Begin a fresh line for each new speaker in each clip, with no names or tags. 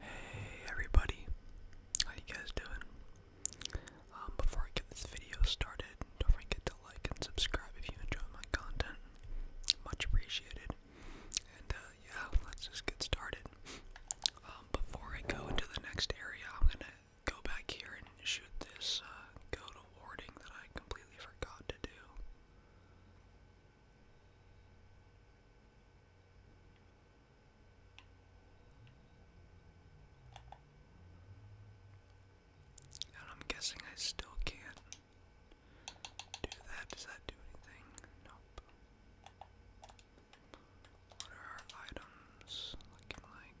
Hey everybody, how you guys doing? Um, before I get this video started, don't forget to like and subscribe if you enjoy my content. Much appreciated. And uh, yeah, let's just get started. Um, before I go into the next area, I'm gonna go back here and shoot this go uh, to warding that I completely forgot to do. And I'm guessing I still can't do that. Does that do anything? Nope. What are our items looking like?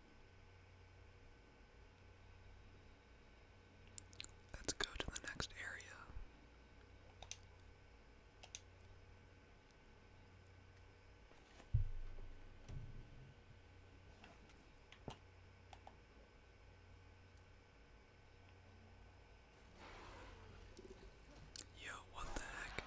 Let's go to the next area. Yo, what the heck?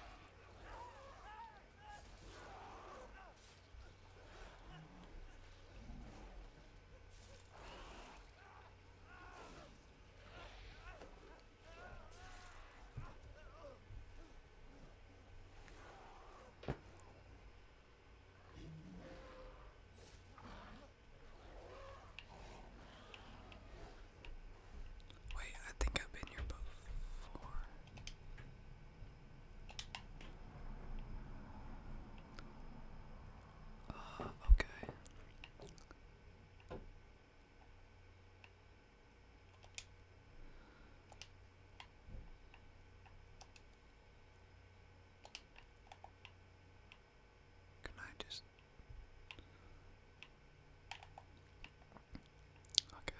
Wait, I think I've been here before. Uh, okay. Can I just Okay.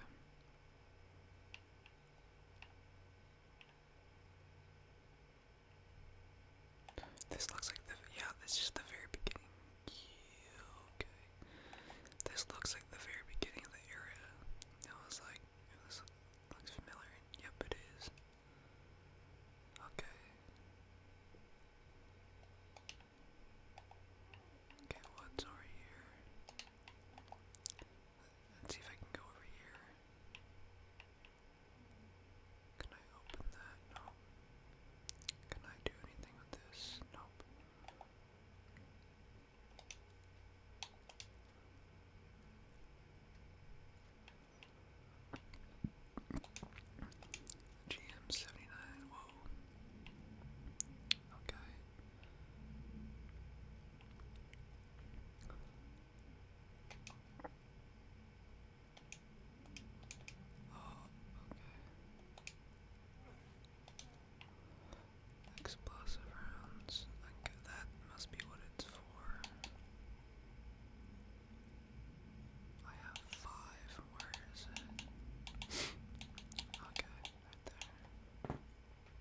This looks like the yeah, this is just the very beginning. okay. This looks like the very beginning of the era. I was like, this looks familiar. Yep, it is. Okay. Okay, what's over here? Let's see if I can go over here. Can I open that? No. Can I do anything with this? Nope. GM seventy nine. Whoa. Okay. Oh, okay. Explosive rounds. Like that must be what it's for. I have five. Where is it? okay, right there.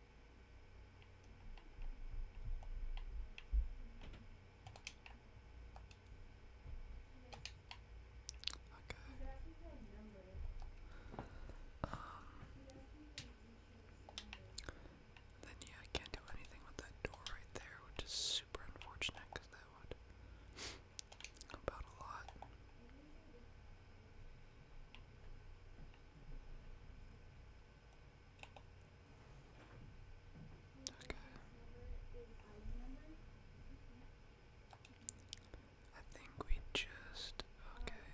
Okay. Um, then yeah, I can't do anything with that door right there, which is super unfortunate because that would help out a lot. Okay. I think we just okay.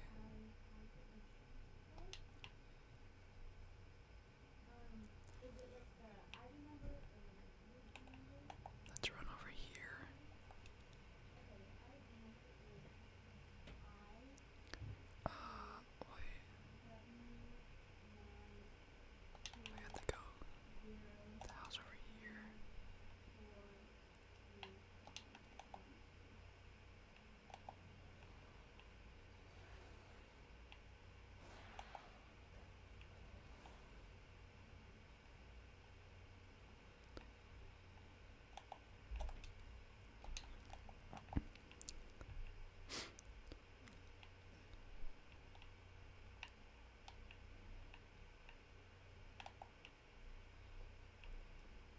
Let's run over here. Uh, wait. I have to go the house over here.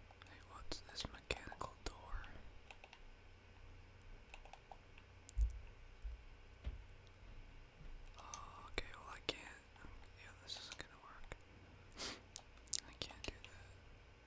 Hey, what's this mechanical door? Oh, okay, well I can't. Yeah, this is gonna work. I can't do that.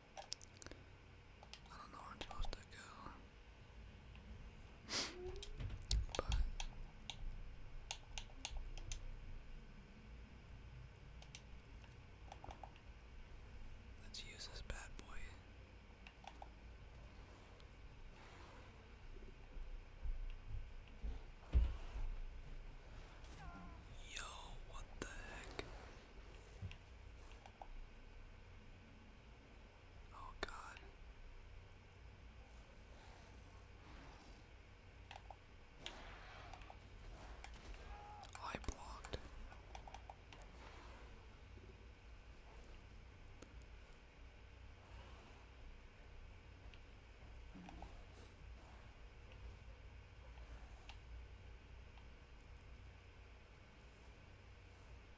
I don't know where I'm supposed to go. but let's use this bad boy. Yo, what the heck? Oh God. I blocked.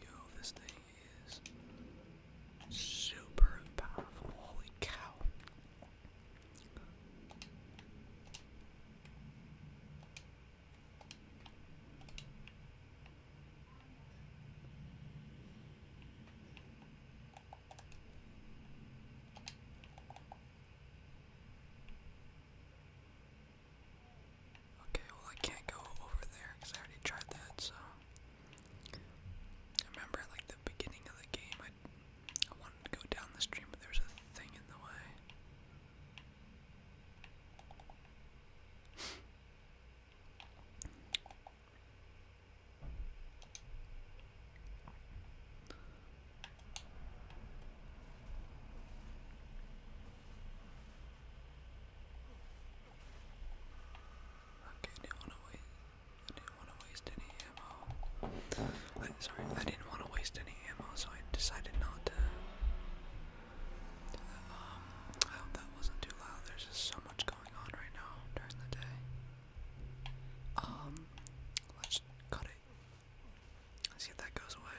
Yo, this thing is super powerful. Holy cow. Okay, well I can't go over there because I already tried that, so I remember like the beginning of the game, I I wanted to go down the stream, but there's a thing in the way. Okay, do you want to wait? I didn't want to waste any ammo. sorry, I didn't want to waste any ammo, so I decided not to. Um, I hope that wasn't too loud. There's just so much going on right now during the day. Um, let's cut it. Let's see if that goes away.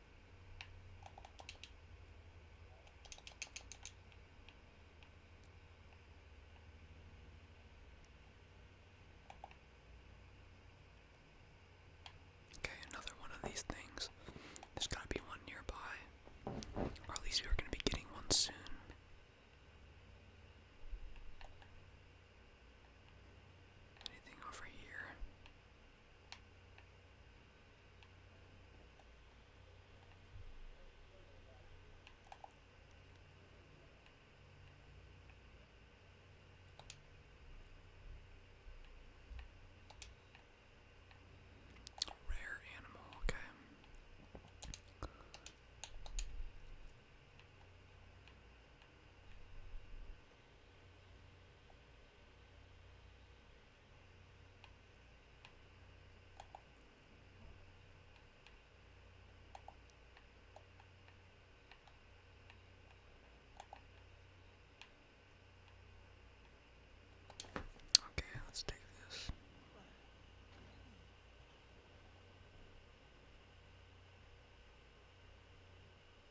Okay, another one of these things. There's gotta be one nearby. Or at least we are gonna be getting one soon. Anything over here? Rare animal, okay. Okay, let's take this.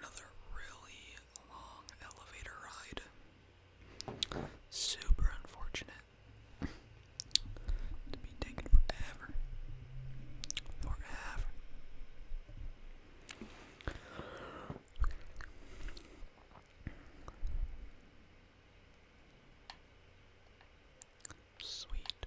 Another really long elevator ride. Super unfortunate. to be taken forever. Forever. Sweet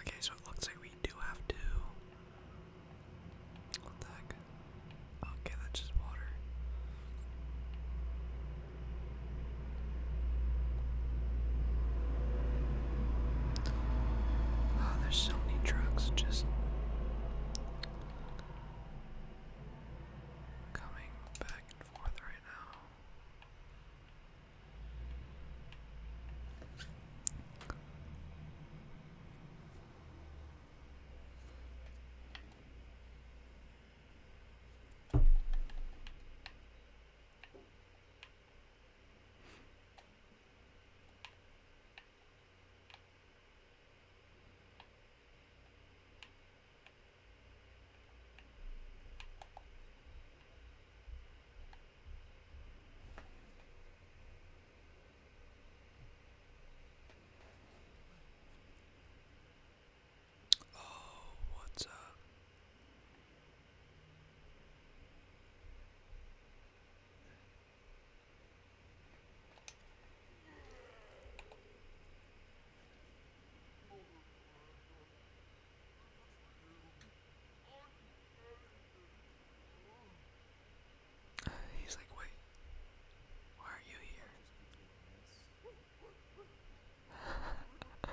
Okay, so it looks like we do have to. What the heck? Okay, that's just water. Oh, there's so many trucks just coming back and forth right now. Oh, what's up? He's like, wait, why are you here?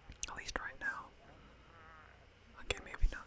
At least right now. Okay, maybe not.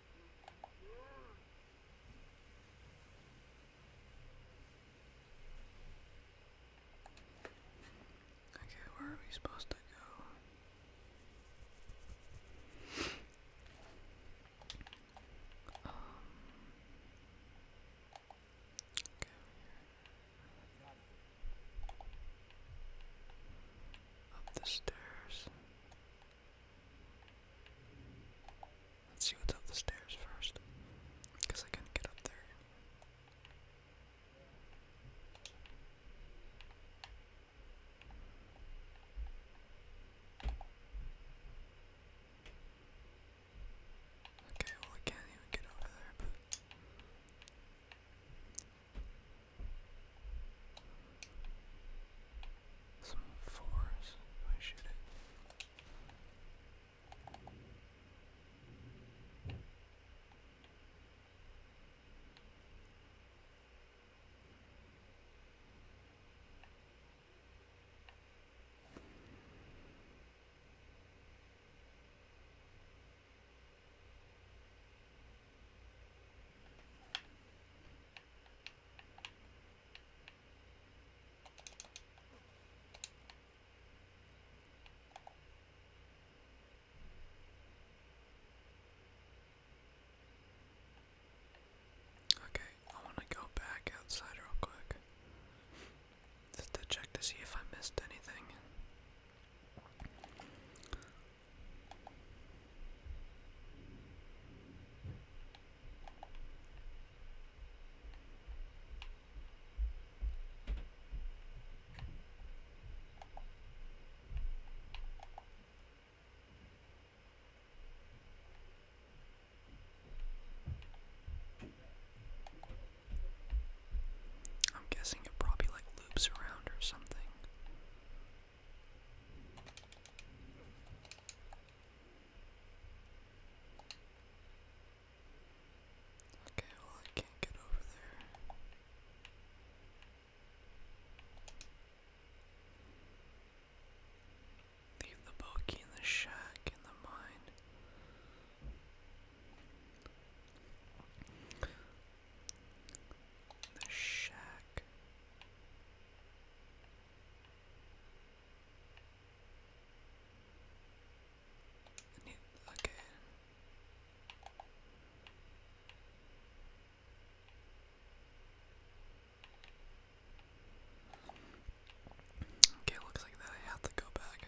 Okay, where are we supposed to go? Um, up the stairs. Let's see what's up the stairs first, because I can not get up there. Okay, well, I can't even get over there, some fours. Why should it? Okay, I want to go back outside real quick. Just check to see if I missed anything. I'm guessing it probably like loops around or something. Okay, well, I can't get over there. Leave the bogey in the shack in the mine. The shack okay. Okay, looks like that I have to go back.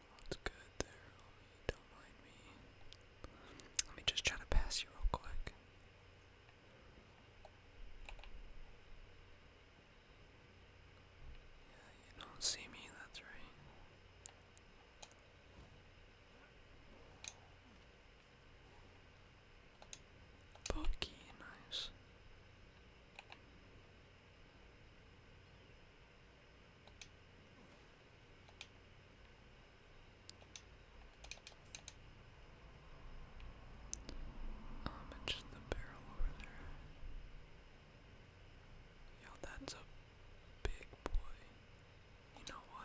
Looks good there, Don't mind me. Let me just try to pass you real quick. Yeah, you don't see me, that's right. Bucky, nice. Um, and just the barrel over there. Yo, that's a big boy. You know what?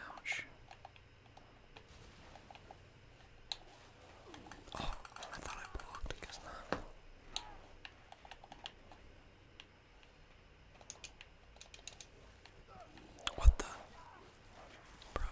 Ouch. Oh, I thought I blocked, I What the? Bro.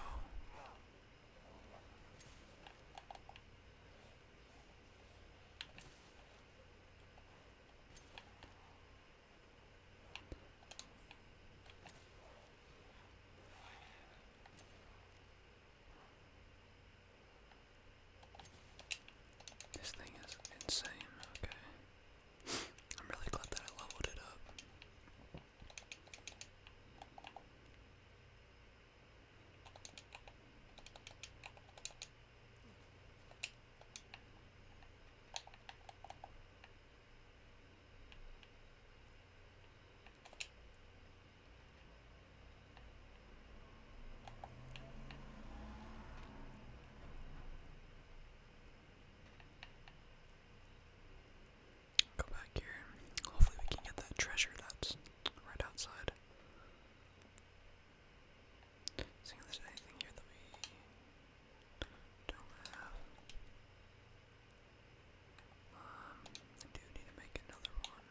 This thing is insane, okay. I'm really glad that I leveled it up. Go back here. Hopefully, we can get that treasure that's right outside. Seeing if there's anything here that we don't have. Um, I do need to make another one.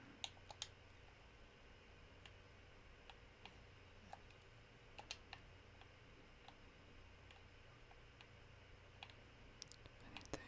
Anything.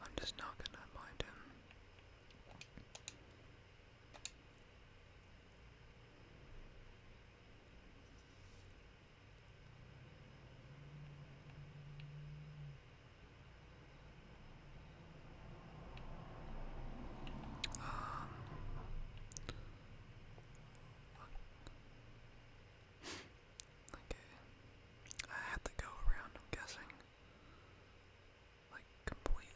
I'm just not gonna mind him. Um, Okay. I had to go around, am guessing. Like, completely,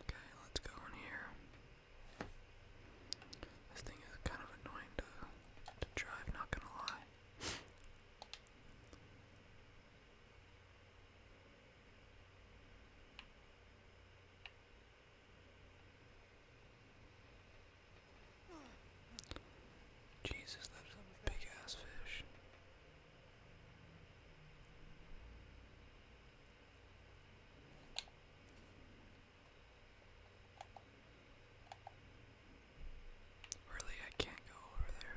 Okay, let's go in here. This thing is kind of annoying to, to drive, not gonna lie. Jesus, that's a big ass fish. Really, I can't go over there.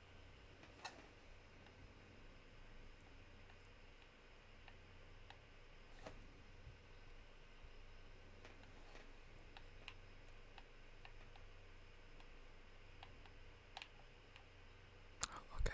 Oh, okay. Oh.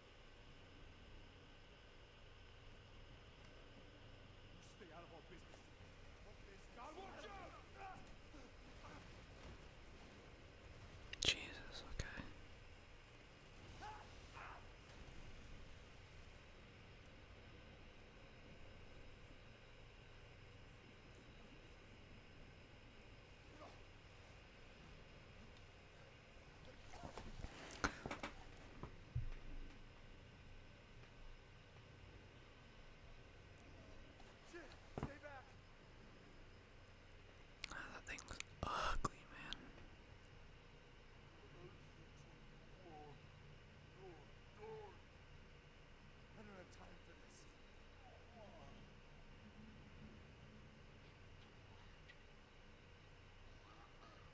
Stay out of our business. Jesus, okay. Oh, that thing looks ugly, man.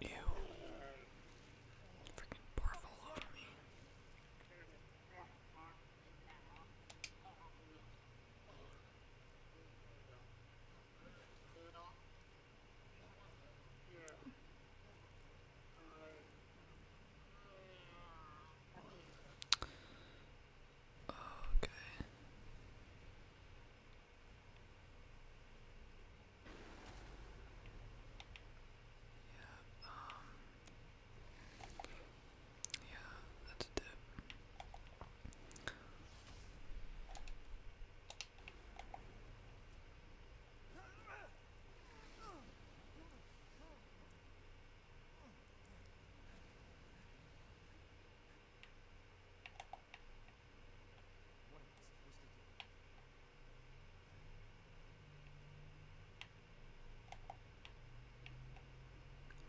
Ew. Freaking barf all Okay. Yeah, um Yeah, that's a dip.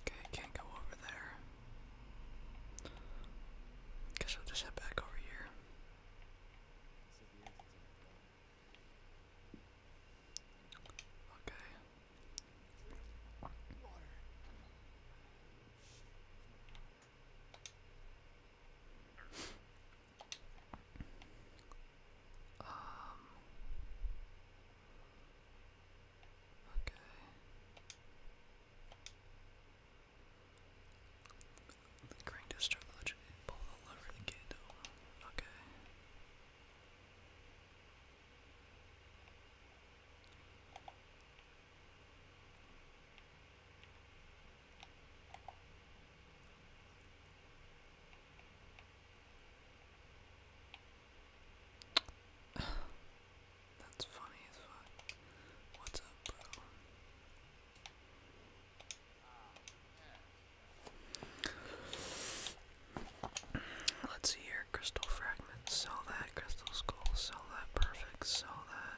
Okay, can't go over there. Guess I'll just head back over here. Okay. Um. Okay. The Legend eh, pull the lever to get over. Okay. That's funny as fuck. What's up, bro? Let's see here. Crystal fragments. Sell that. Crystal skull. Sell that. Perfect. Sell that.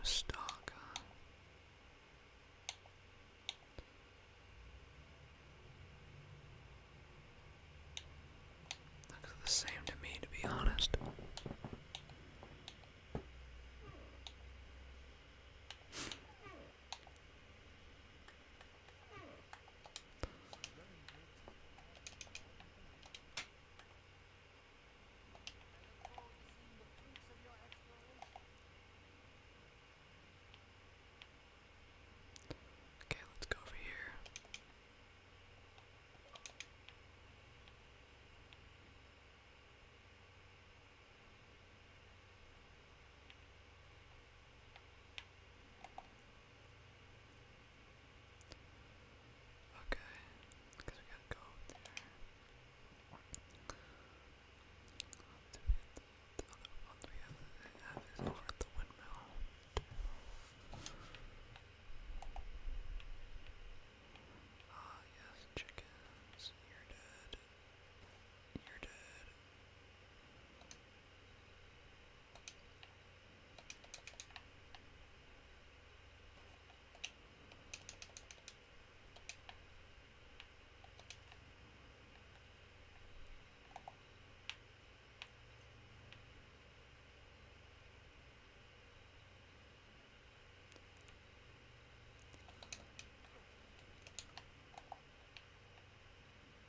No Looks the same to me, to be honest. Okay, let's go over here. Okay, because we gotta go there. The one we have, is over windmill. Ah, yes, chickens, you're dead. You're dead.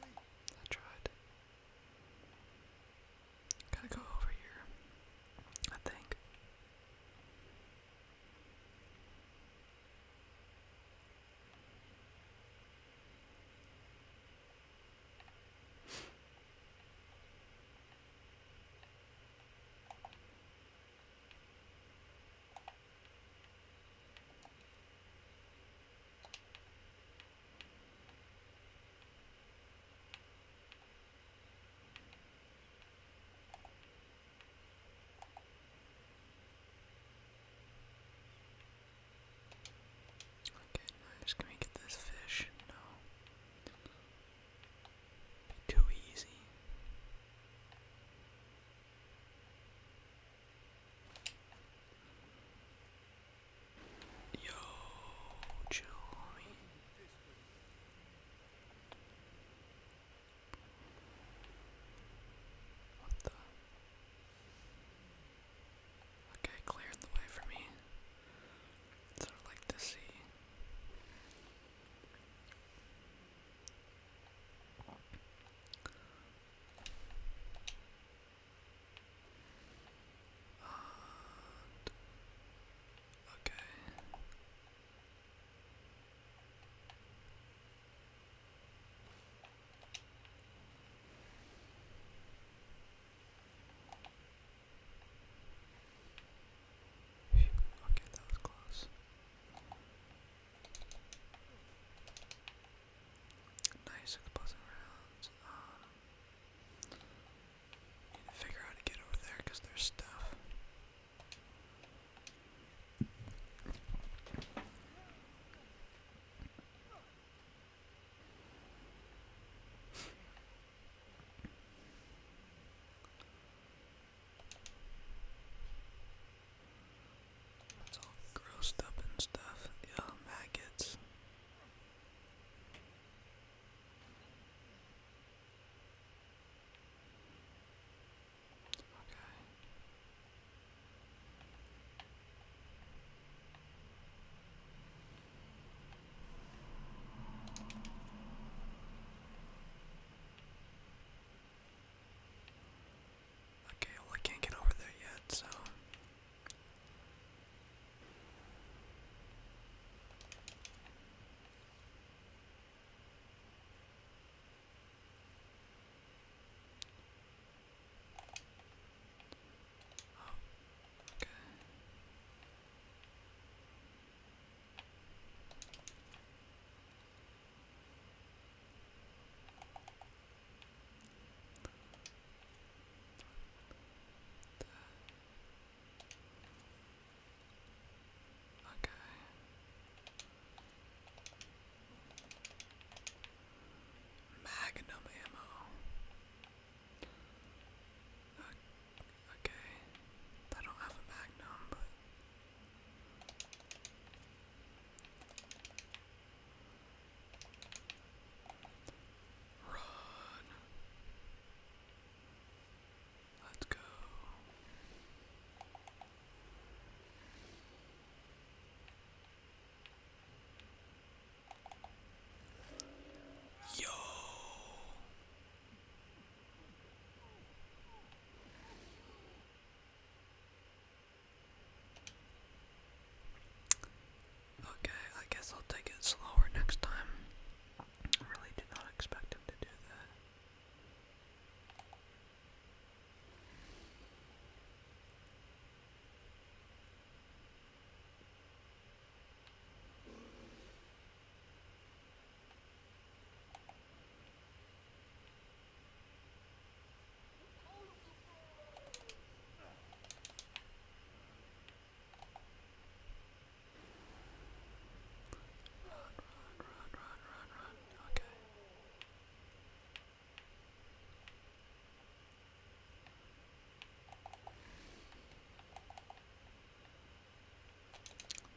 I tried. Gotta go over here, I think. Okay, just gonna get this fish? No. too easy. Yo, chill, homie. What the? Okay, cleared the way for me. That's what like to see. And okay. Whew, okay, that was Nice. plus rounds. Um, need figure out how to get over there because there's stuff. It's all grossed up and stuff. Yeah, maggots. Okay. Okay, well I can't get over there yet, so okay. Okay. Magnum ammo. Okay. I don't have a magnum, but Run. Let's go. Yo. Okay, I guess I'll take it slower next time. I really did not expect him to do that run, run, run, run. Okay.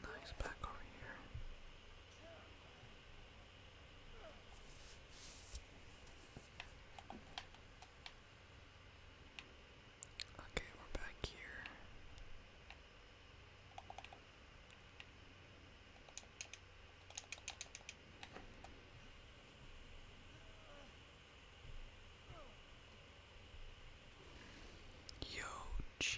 Nice back over here. Okay, we're back here. Yo, Jesus.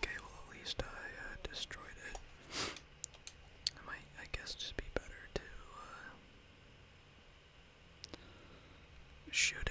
Okay, well at least I uh, destroyed it. might, I guess, just be better to uh, shoot it.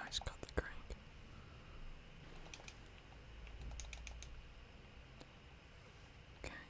Nice cut the crank. Okay,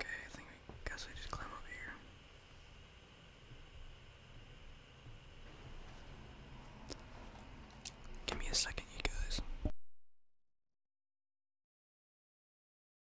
Okay, I think guess we just climb up here. Give me a second, you guys.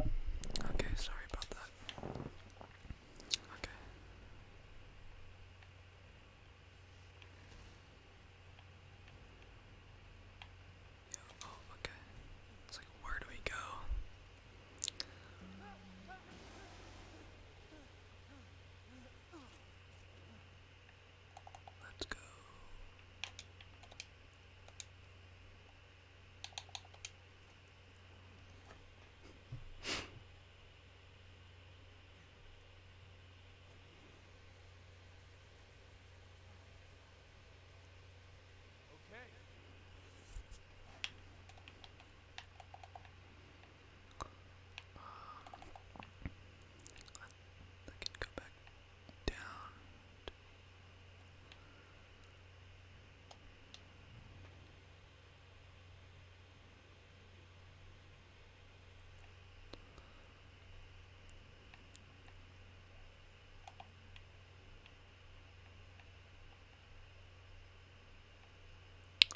Okay, sorry about that. Okay. oh, okay. It's like, where do we go? Let's go. Okay. Um, I can go back down.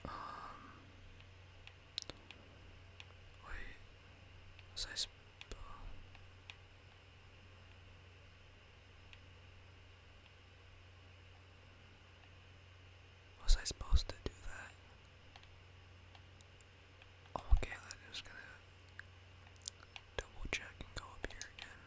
Um, wait, was I? Was I supposed to do that? Oh, okay, I'm just gonna double check and go up here again.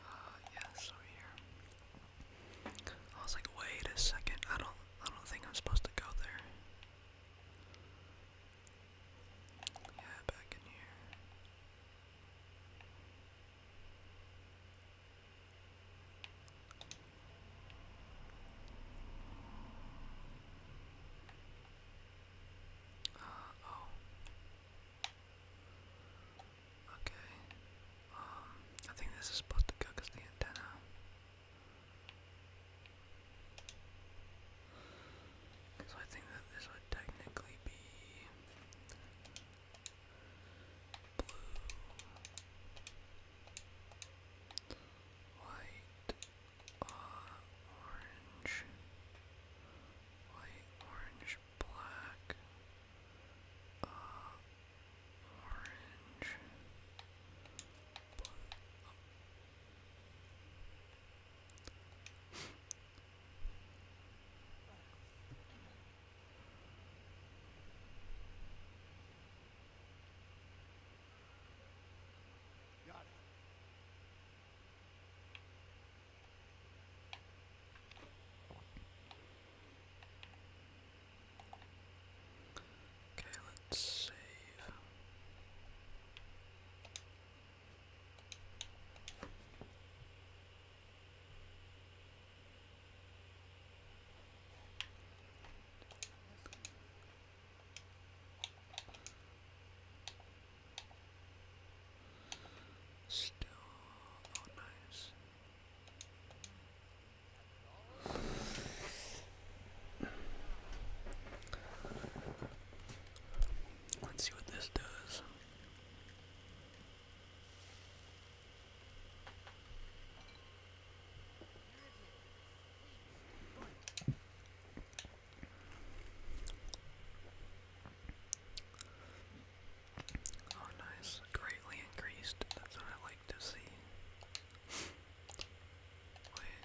Uh, yeah, so here. I was like, wait a second, I don't I don't think I'm supposed to go there. Yeah, back in here. Uh, oh. Okay. Um, I think this is supposed to go because the antenna. So I think that this would technically be blue, white, uh, orange, white, orange, black, uh, orange, blue. Oh. Okay, let's save. Still, oh nice. Let's see what this does. Oh, nice. Greatly increased. That's what I like to see. Wait,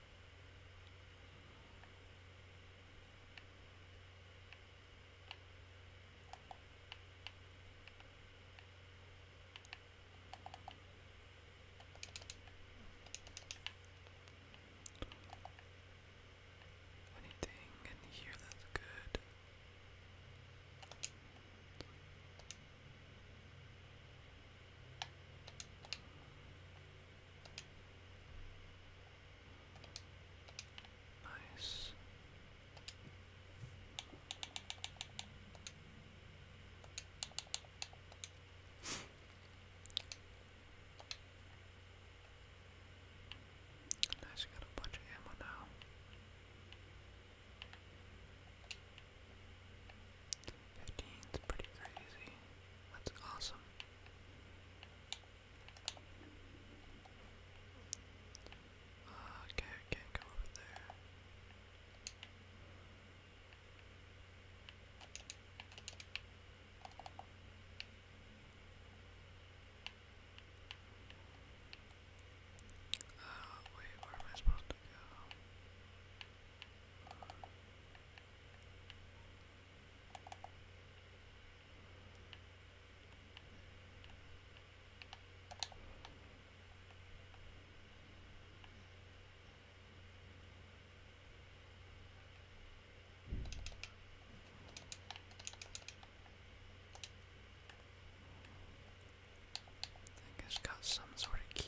Anything in here that's good. Nice. nice, got a bunch of ammo now. Fifteen's pretty crazy. That's awesome. Uh, oh, okay, can't go over there. Uh, wait, where am I supposed to go? I think it's got some sort of key.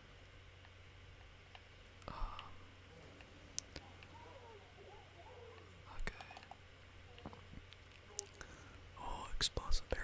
Um, okay. Oh, explosive barrel.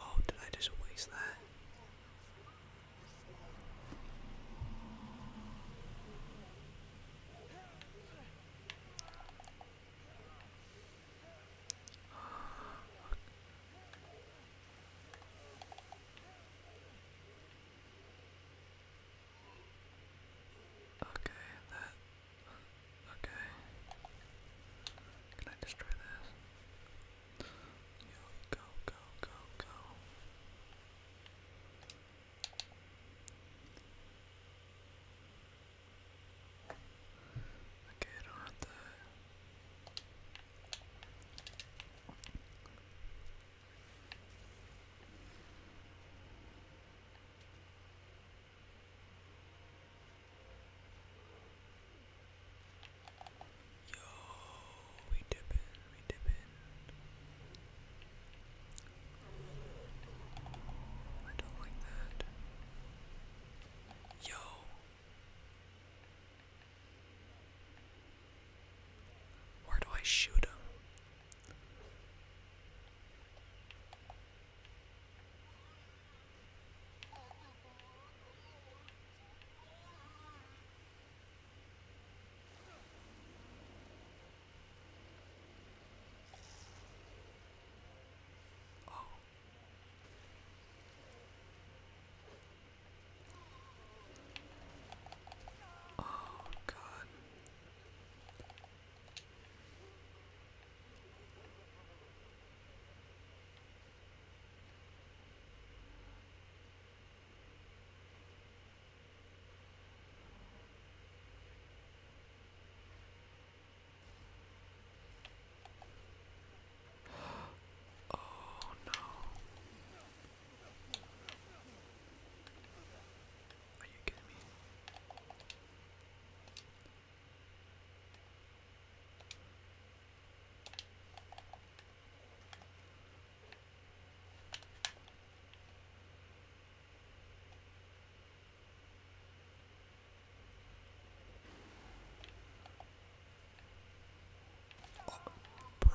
Oh, did I just waste that? Okay, that. Okay. Can I destroy this? go, go, go, go. Okay, I don't have to. Yo, we dippin', we dippin'. I don't like that. Yo. Where do I shoot him? Oh. Oh, God. Oh no. Are you kidding me? Oh, bro.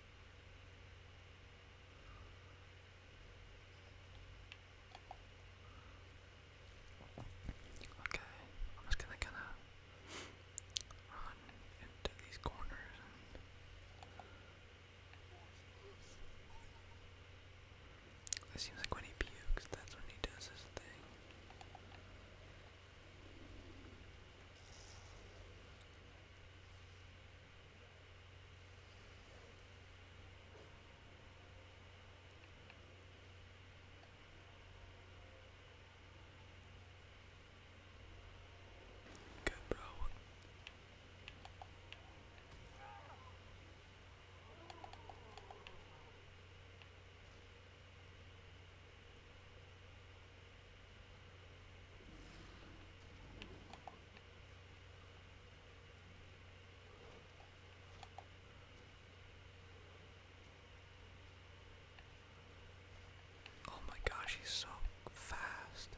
Okay, I'm just gonna kinda run into these corners it seems like when he pukes, that's when he does his thing. Good, bro. Oh my gosh, he's so fast.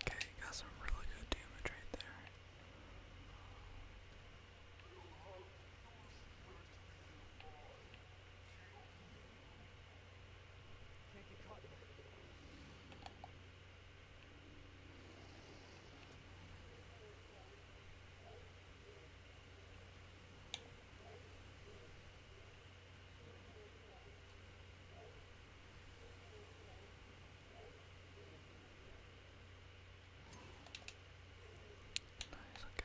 Okay, got some really good damage right there. Nice, okay. Oh.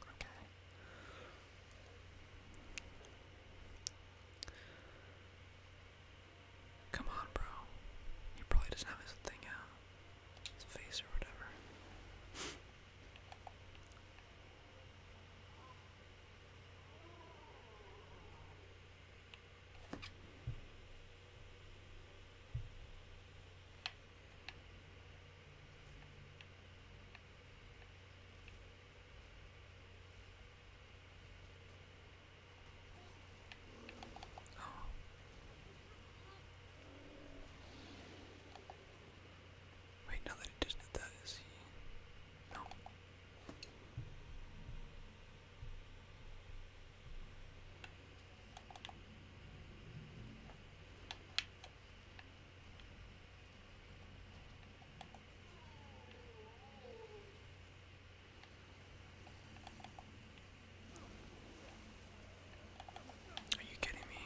Okay. Come on, bro. He probably doesn't have his thing out. His face or whatever. Oh. Wait, now that he just did that, is he? No. Are you kidding me?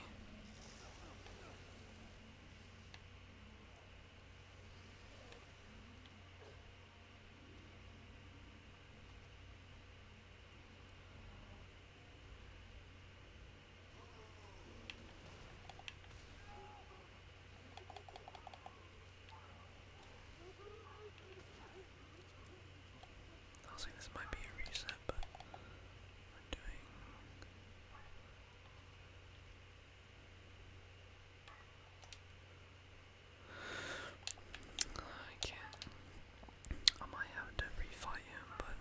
i was like, this might be a reset, but we're doing. I can't. I might have to refight him, but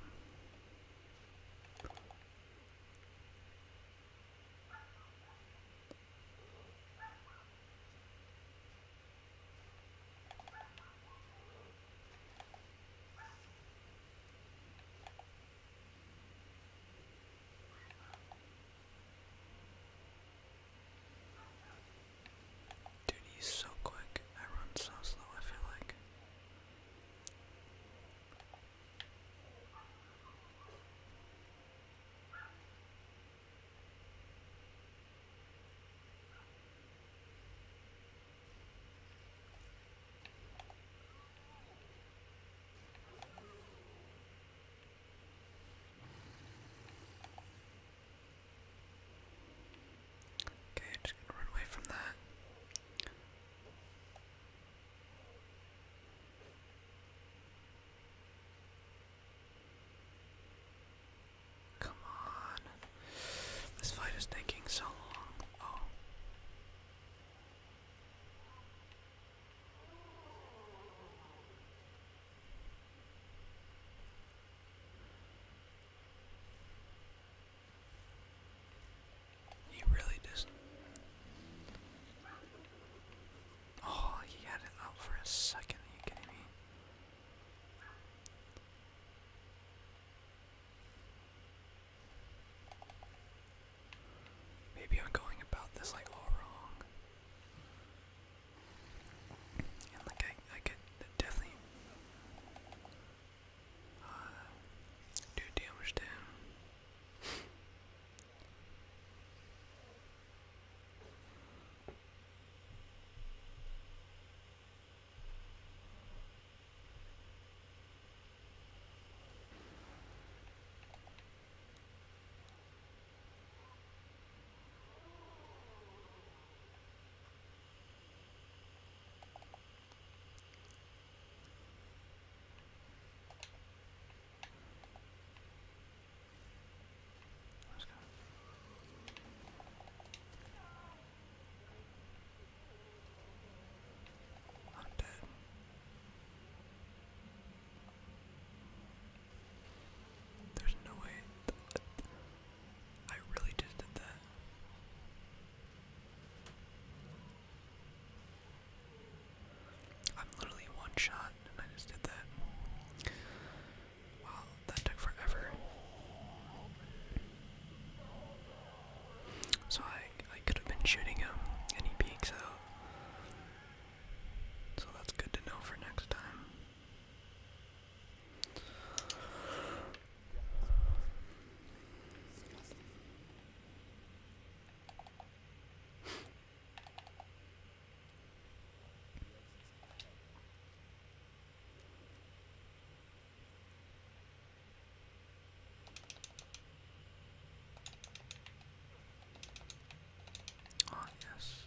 Dude, he's so quick. I run so slow, I feel like. Okay, just gonna run away from that. Come on. This fight is taking so long. Oh. He really just. Oh, he had it out for a second. you kidding me? Maybe I'm going about this like all wrong. And like I, I could definitely uh, do damage to Let's I'm dead. There's no way. I really just did that. I'm literally one shot and I just did that. Wow, that took forever. So I I could have been shooting him and he peeks out. So that's good to know for next time. Ah, yes.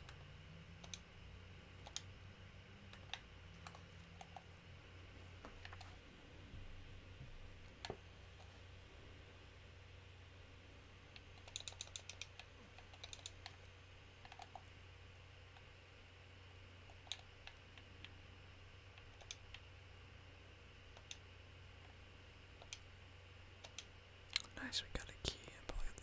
Nice, we got a key and probably the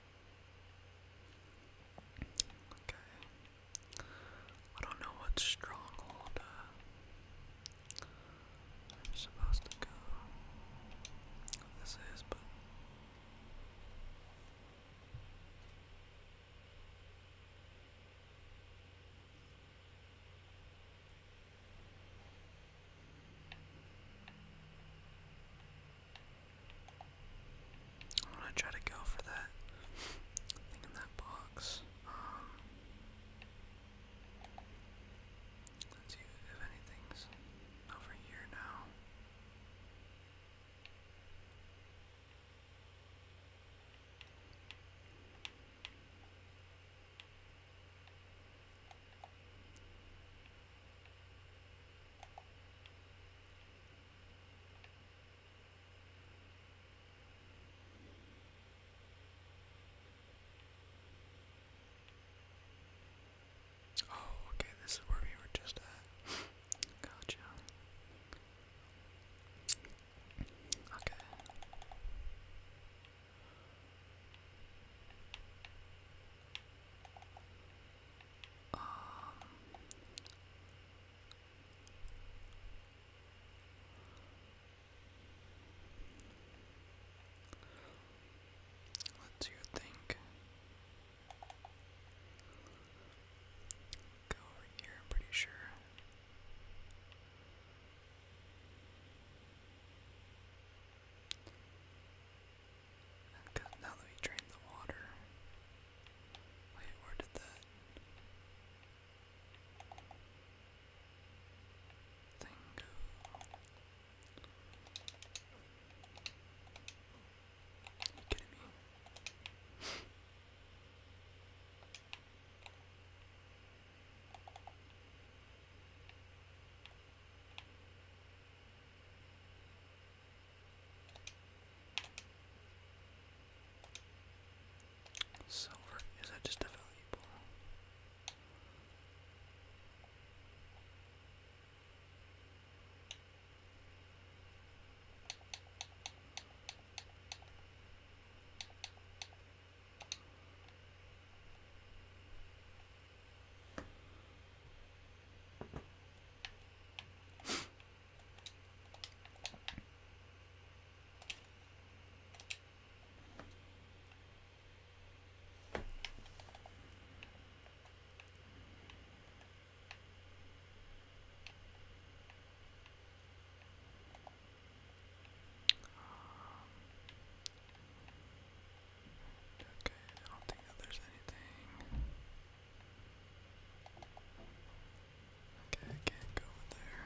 Okay. I don't know what stronghold uh, I'm supposed to go. this is, but. I'm gonna try to go for that in that box. Um, let's see if anything's over here now. Oh, okay, this is where we were just at. Gotcha. Okay. Um, let's you think. Go over here, pretty sure now that we drained the water. Wait, where did that thing go? you kidding me? Silver, is that just a valuable? Okay, I don't think there's anything Okay, I go in there.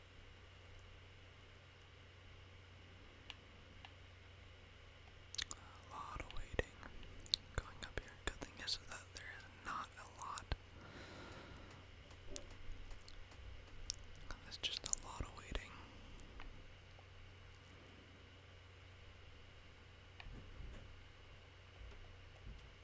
A lot of waiting. Going up here. Good thing is that there is not a lot. There's just a lot of waiting.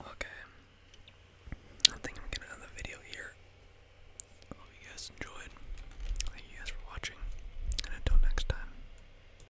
Okay. I think I'm gonna end the video here. hope you guys enjoyed. Thank you guys for watching, and until next time.